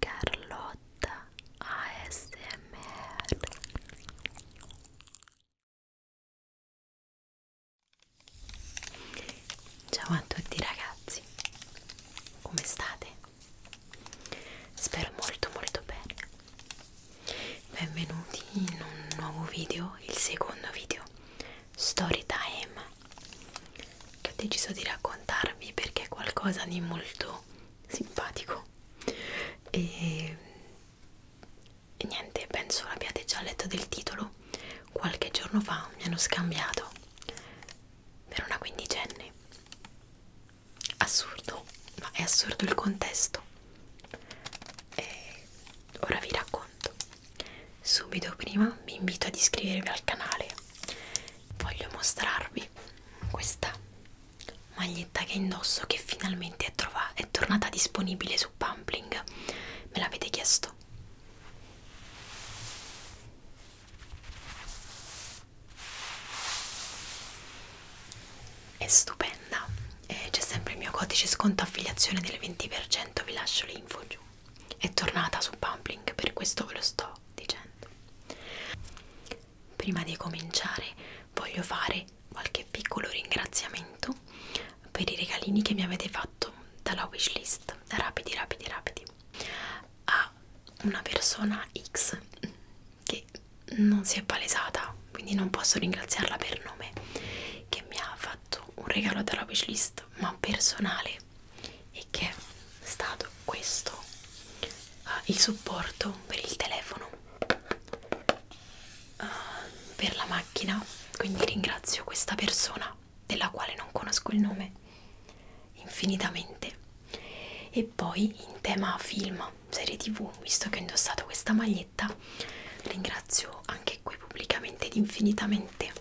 Carlotta ASMR Ciao a tutti ragazzi, come state? Spero molto molto bene. Benvenuti in un nuovo video, il secondo video Storytime che ho deciso di raccontarvi perché è qualcosa di molto simpatico e, e niente, penso l'abbiate già letto del titolo qualche giorno fa mi hanno scambiato per una quindicenne assurdo, ma è assurdo il contesto e ora vi racconto Subito prima vi invito ad iscrivervi al canale. Voglio mostrarvi questa maglietta che indosso che finalmente è, è tornata disponibile su Pumpling. Me l'avete chiesto. È stupenda, e c'è sempre il mio codice sconto affiliazione del 20% vi lascio l'info giù è tornata su Pumpling per questo ve lo sto dicendo prima di cominciare voglio fare qualche piccolo ringraziamento per i regalini che mi avete fatto dalla wishlist rapidi rapidi rapidi a una persona X che non si è palesata quindi non posso ringraziarla per nome che mi ha fatto fatto un regalo dalla wishlist ma personale e che è stato questo uh, il supporto per il telefono uh, per la macchina quindi ringrazio questa persona della quale non conosco il nome infinitamente e poi in tema film serie tv visto che ho indossato questa maglietta ringrazio ringrazio anche qui pubblicamente ed infinitamente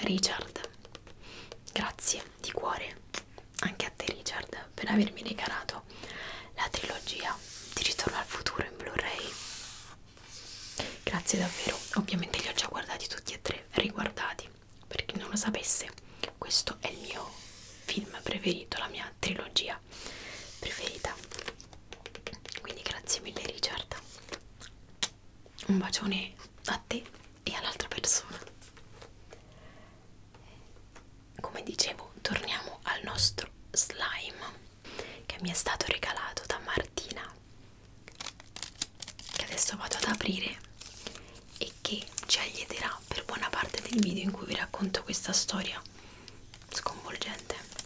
Richard. Grazie di cuore anche a te Richard per avermi regalato la trilogia di Ritorno al futuro in Blu-ray. Grazie davvero, ovviamente li ho già guardati tutti e tre, riguardati, per chi non lo sapesse, questo è il mio film preferito, la mia trilogia preferita quindi grazie mille Richard. Un bacione a te e all'altra persona. Come dicevo, torniamo al nostro slime che mi è stato regalato da Martina. Che adesso vado ad aprire e che ci aiuterà per buona parte del video in cui vi racconto questa storia sconvolgente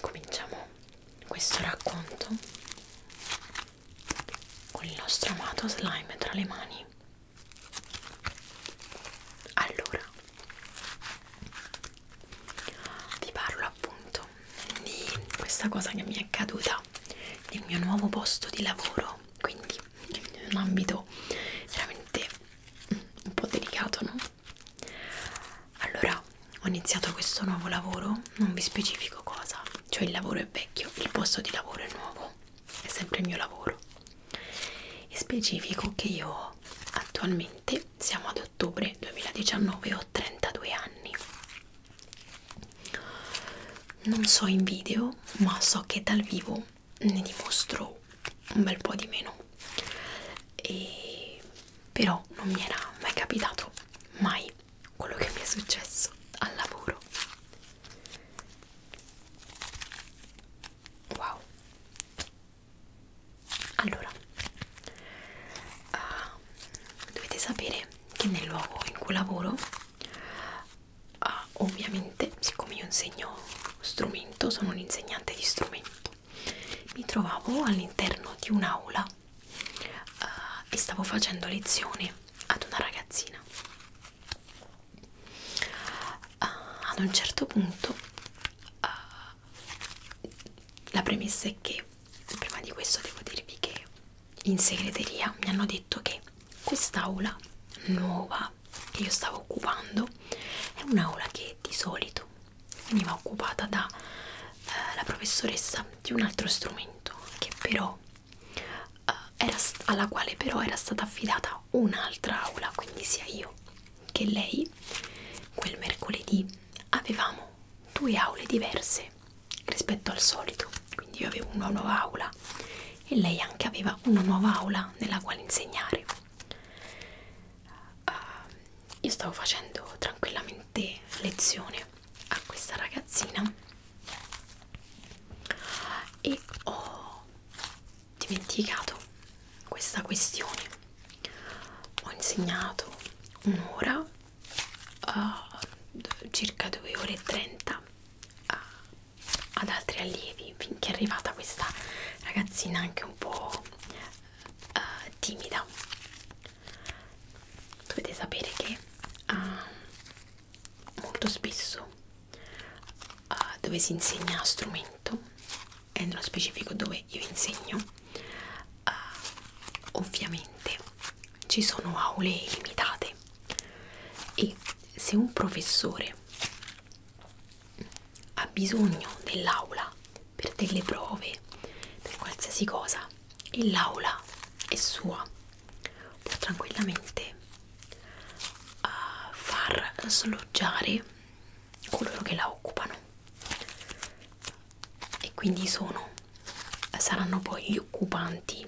Cominciamo questo racconto con il nostro amato slime tra le mani. Allora, ti parlo appunto di questa cosa che mi è accaduta nel mio nuovo posto di lavoro, quindi quindi un ambito veramente un po' delicato, no? Allora, ho iniziato questo nuovo lavoro, non vi specifico cosa, cioè il lavoro è vecchio, il posto di lavoro è nuovo, è sempre il mio lavoro. E specifico che io attualmente siamo ad ottobre 2019, ho 32 anni. Non so in video, ma so che dal vivo ne dimostro un bel po' di meno e però non mi era mai capitato mai quello che mi è successo al lavoro wow allora uh, dovete sapere che nel luogo in cui lavoro ah, ovviamente siccome io insegno strumento sono un insegnante di strumento mi trovavo all'interno di un'aula uh, e stavo facendo lezione ad una ragazzina uh, ad un certo punto uh, la premessa è che prima di questo devo dirvi che in segreteria mi hanno detto che quest'aula nuova che io stavo occupando è un'aula che di solito veniva occupata dalla eh, professoressa di un altro strumento che però eh, era alla quale però era stata affidata un'altra aula quindi sia io che lei quel mercoledì avevamo due aule diverse rispetto al solito quindi io avevo una nuova aula e lei anche aveva una nuova aula nella quale insegnare. Uh, io stavo facendo tranquillamente lezione a questa ragazzina e ho dimenticato questa questione. Ho insegnato un'ora, uh, circa 2 ore e 30 a ad altri allievi finché è arrivata questa ragazzina anche un po' uh, timida dovete sapere che uh, molto spesso uh, dove si insegna strumento e nello specifico dove io insegno uh, ovviamente ci sono aule limitate e se un professore ha bisogno dell'aula per delle prove, per qualsiasi cosa, e l'aula è sua, può tranquillamente uh, far sloggiare coloro che la occupano e quindi sono saranno poi gli occupanti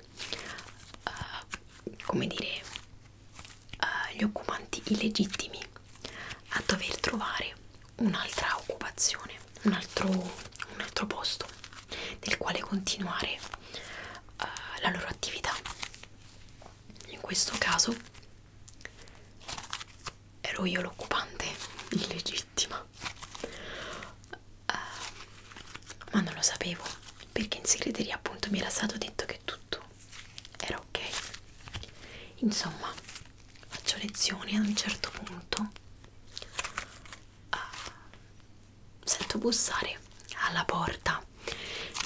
uh, come dire uh, gli occupanti illegittimi a dover trovare un'altra occupazione, un altro, un altro posto nel quale continuare uh, la loro attività. In questo caso ero io l'occupante illegittima, uh, ma non lo sapevo perché in segreteria appunto mi era stato detto che tutto era ok insomma faccio lezioni ad un certo punto uh, sento bussare alla porta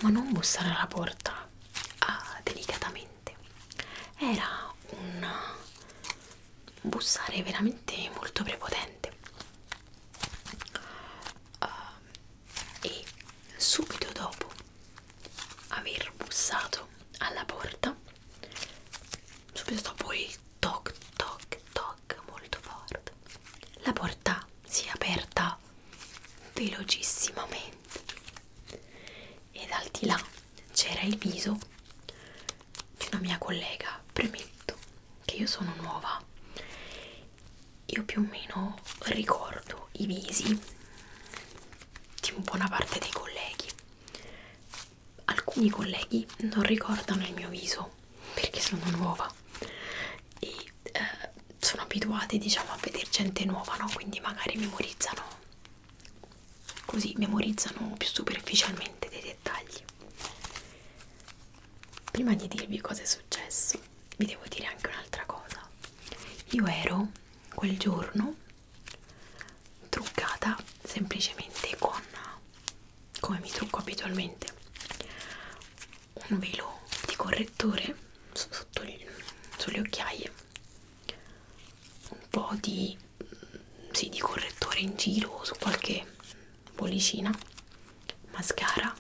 ma non bussare alla porta uh, delicatamente era un bussare veramente molto prepotente uh, e subito dopo aver bussato alla porta subito dopo il toc toc toc molto forte la porta si è aperta velocissimamente ed al di là c'era il viso di una mia collega premetto che io sono nuova io più o meno ricordo i visi di buona parte dei colleghi alcuni colleghi non ricordano il mio viso perché sono nuova e eh, sono abituati diciamo a vedere gente nuova no quindi magari memorizzano così memorizzano più superficialmente dei dettagli prima di dirvi cosa è successo, vi devo dire anche un'altra cosa. Io ero quel giorno truccata semplicemente con come mi trucco abitualmente un velo di correttore sotto gli, sulle occhiaie un po' di, sì, di correttore in giro su qualche bollicina mascara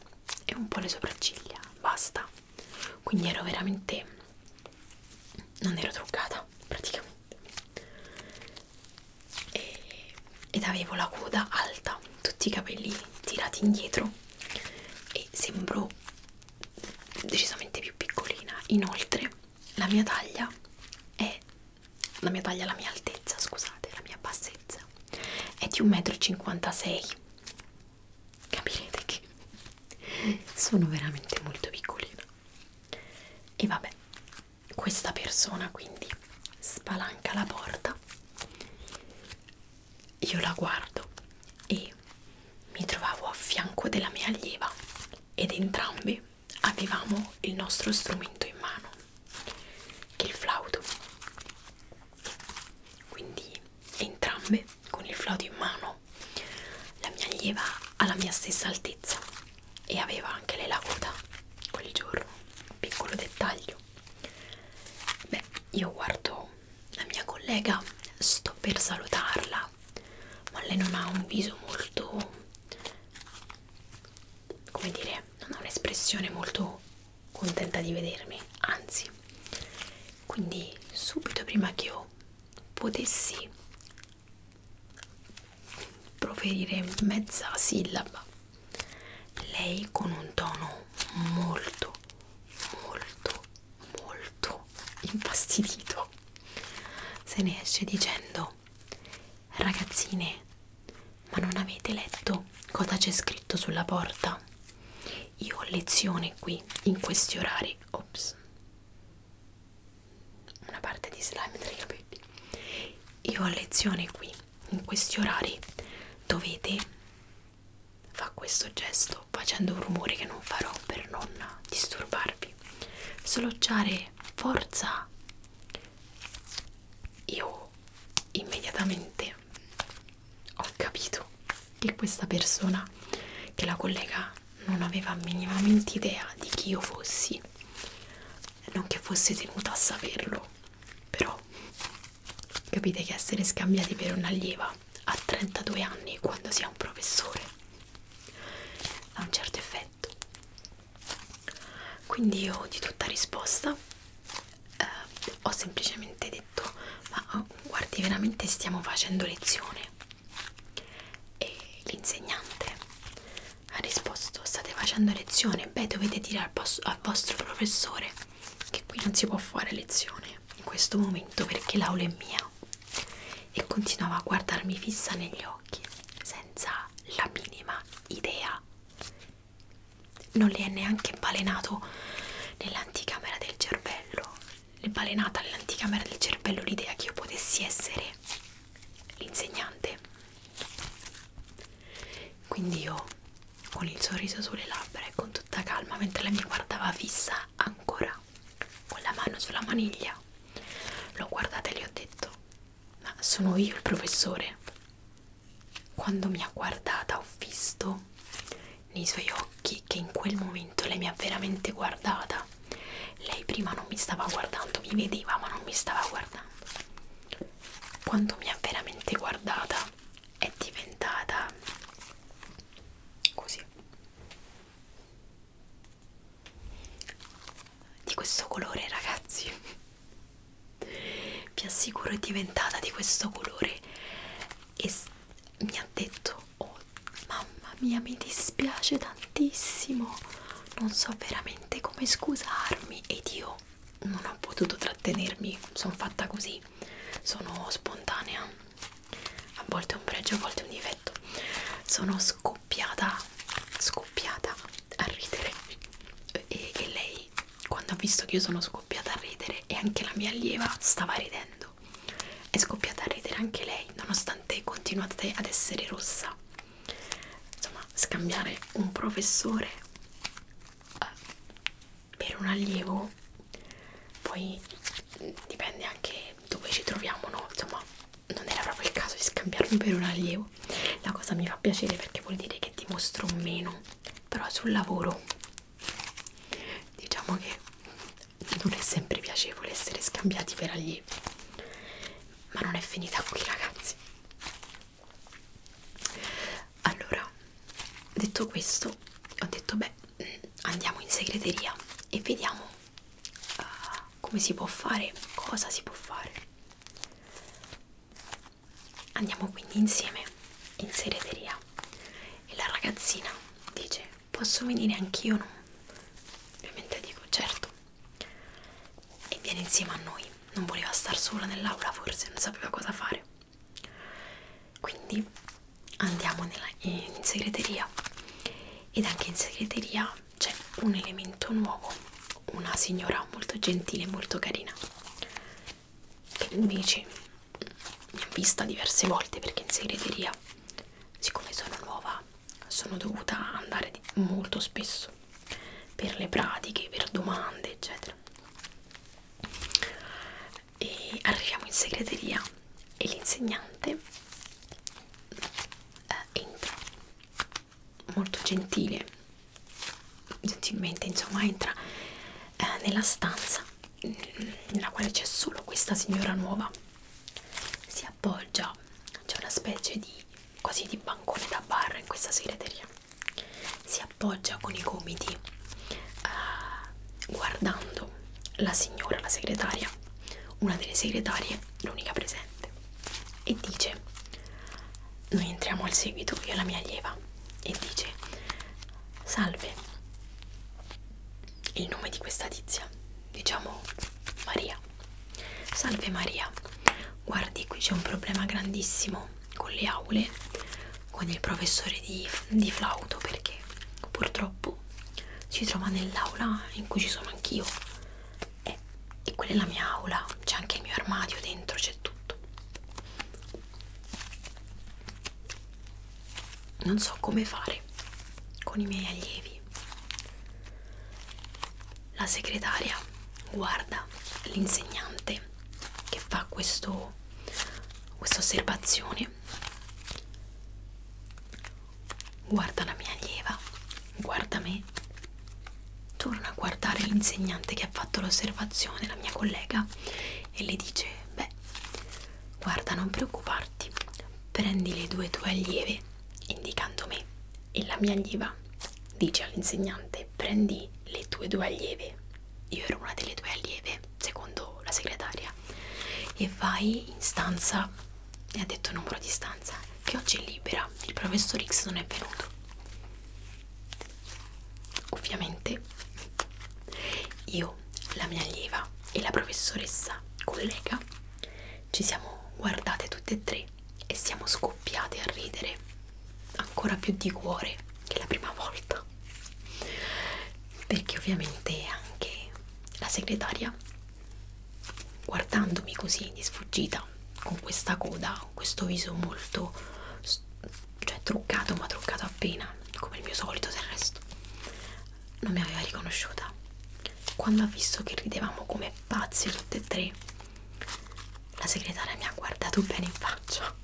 e un po' le sopracciglia, basta. Quindi ero veramente non ero truccata praticamente. E, ed avevo la coda alta, tutti i capelli tirati indietro e sembro decisamente più piccolina. Inoltre, la mia taglia è la mia taglia, la mia altezza, scusate, la mia bassezza è di 1,56 m. Capirete che sono veramente molto piccolina. E vabbè, questa persona quindi spalanca la porta, io la guardo e mi trovavo a fianco della mia allieva ed entrambi avevamo il nostro strumento in mano il flauto quindi entrambe con il flauto in mano la mia allieva alla mia stessa altezza e aveva anche le lacuta quel giorno piccolo dettaglio beh io guardo la mia collega sto per salutarla ma lei non ha un viso molto come dire, non ho un'espressione molto contenta di vedermi, anzi. Quindi subito prima che io potessi proferire mezza sillaba, lei con un tono molto, molto, molto infastidito se ne esce dicendo libro. Ragazzine, ma non avete letto cosa c'è scritto sulla porta? Io ho lezione qui, in questi orari. Ops. Una parte di slime tra i capelli. Io ho lezione qui, in questi orari. Dovete fa questo gesto facendo un rumore che non farò per non disturbarvi. Sloggiare forza io immediatamente ho capito che questa persona che la collega non aveva minimamente idea di chi io fossi non che fosse tenuta a saperlo però capite che essere scambiati per un'allieva a 32 anni quando si è un professore ha un certo effetto quindi io di tutta risposta eh, ho semplicemente detto ma oh, guardi veramente stiamo facendo lezione e l'insegnante ha risposto state facendo lezione beh dovete dire al, al vostro professore che qui non si può fare lezione in questo momento perché l'aula è mia e continuava a guardarmi fissa negli occhi senza la minima idea. Non le è neanche balenato nell'anticamera del cervello, è balenata nell'anticamera del cervello l'idea che io potessi essere l'insegnante. Quindi io, con il sorriso sulle labbra e con tutta calma, mentre lei mi guardava fissa ancora, con la mano sulla maniglia, l'ho guardata e le ho detto ma sono io il professore. Quando mi ha guardata ho visto nei suoi occhi che in quel momento lei mi ha veramente guardata. Lei prima non mi stava guardando, mi vedeva ma non mi stava guardando. Quando mi ha veramente guardata è diventata così di questo colore ragazzi vi assicuro è diventata di questo colore e mi ha detto oh mamma mia mi dispiace tantissimo non so veramente come scusarmi ed io non ho potuto trattenermi sono fatta così sono spontanea a volte è un pregio a volte è un difetto sono sconvolta scoppiata scoppiata a ridere e, e lei quando ha visto che io sono scoppiata a ridere e anche la mia allieva stava ridendo è scoppiata a ridere anche lei nonostante continuate ad essere rossa insomma scambiare un professore eh, per un allievo poi dipende anche dove ci troviamo no insomma non era proprio il caso di scambiarmi per un allievo la cosa mi fa piacere perché vuol dire che dimostro meno però sul lavoro diciamo che non è sempre piacevole essere scambiati per allievi ma non è finita qui ragazzi allora detto questo ho detto beh andiamo in segreteria e vediamo uh, come si può fare, cosa si può fare. Andiamo quindi insieme in segreteria e la ragazzina dice posso venire anch'io? No? Ovviamente dico certo e viene insieme a noi, non voleva star sola nell'aula forse, non sapeva cosa fare. Quindi andiamo nella, in segreteria ed anche in segreteria c'è un elemento nuovo una signora molto gentile molto carina che invece mi ha vista diverse volte perché in segreteria siccome sono nuova sono dovuta andare molto spesso per le pratiche per domande eccetera e arriviamo in segreteria e l'insegnante eh, entra molto gentile gentilmente insomma entra eh, nella stanza mm, nella quale c'è solo questa signora nuova si appoggia c'è una specie di quasi di bancone da barra in questa segreteria si appoggia con i gomiti eh, guardando la signora la segretaria una delle segretarie l'unica presente, e dice: Noi entriamo al seguito, io e la mia allieva, e dice: Salve, il nome di questa tizia, diciamo Maria. Salve Maria, guardi, qui c'è un problema grandissimo con le aule, con il professore di, di flauto perché purtroppo si trova nell'aula in cui ci sono anch'io e, e quella è la mia aula, c'è anche il mio armadio dentro, c'è tutto. Non so come fare con i miei allievi. La segretaria guarda l'insegnante che fa questo, questa osservazione guarda la mia allieva, guarda me, torna a guardare l'insegnante che ha fatto l'osservazione, la mia collega, e le dice, beh, guarda non preoccuparti, prendi le due tue allieve, indicando me, e la mia allieva dice all'insegnante, prendi le tue due allieve, io ero una delle tue allieve, secondo la segretaria, e vai in stanza e ha detto il numero di stanza che oggi è libera, il professor X non è venuto. Ovviamente io, la mia allieva e la professoressa collega ci siamo guardate tutte e tre e siamo scoppiate a ridere ancora più di cuore che la prima volta perché ovviamente anche la segretaria guardandomi così di sfuggita con questa coda, con questo viso molto cioè truccato ma truccato appena come il mio solito del resto non mi aveva riconosciuta quando ha visto che ridevamo come pazzi tutte e tre la segretaria mi ha guardato bene in faccia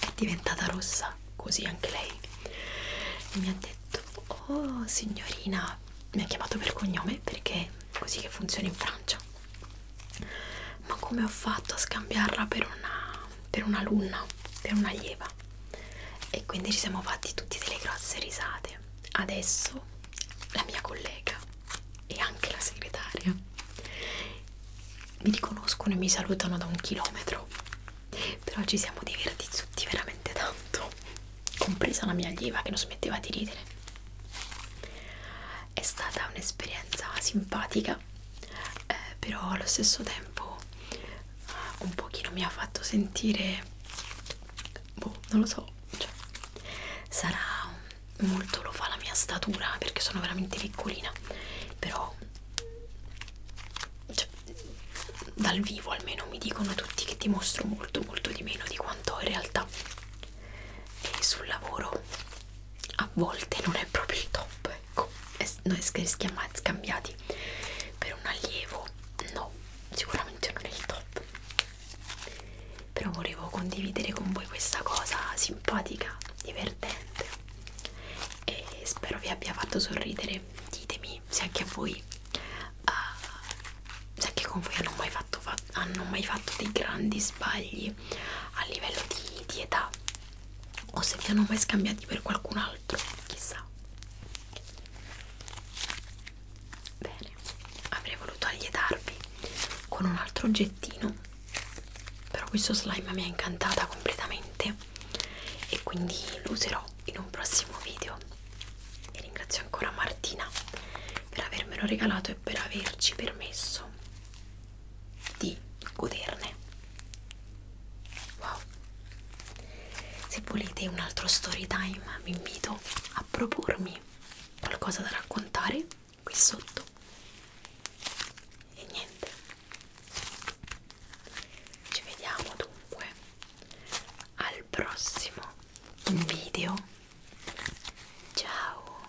è diventata rossa così anche lei e mi ha detto Oh signorina, mi ha chiamato per cognome perché è così che funziona in Francia. Ma come ho fatto a scambiarla per una, per un'alunna, per una lieva? E quindi ci siamo fatti tutti delle grosse risate. Adesso la mia collega e anche la segretaria mi riconoscono e mi salutano da un chilometro però ci siamo divertiti tutti veramente tanto compresa la mia allieva che non smetteva di ridere è stata un'esperienza simpatica eh, però allo stesso tempo eh, un pochino mi ha fatto sentire boh non lo so cioè, sarà molto lo fa la mia statura perché sono veramente piccolina però cioè, dal vivo almeno mi dicono tutti che ti mostro molto molto di meno di quanto ho in realtà e sul lavoro a volte non è proprio il top ecco noi scambiati per un allievo no sicuramente non è il top però volevo condividere con voi questa cosa simpatica divertente e spero vi abbia fatto sorridere e ditemi se anche a voi uh, se anche con voi hanno mai fatto, fa hanno mai fatto dei grandi sbagli a livello di, di età o se vi hanno mai scambiati per qualcun altro chissà bene avrei voluto allietarvi con un altro oggettino però questo slime mi ha incantata completamente e quindi lo userò in un prossimo video e ringrazio ancora Martina per avermelo regalato e per averci permesso di goderne wow se volete un altro story time vi invito a propormi qualcosa da raccontare qui sotto e niente ci vediamo dunque al prossimo video. Ciao.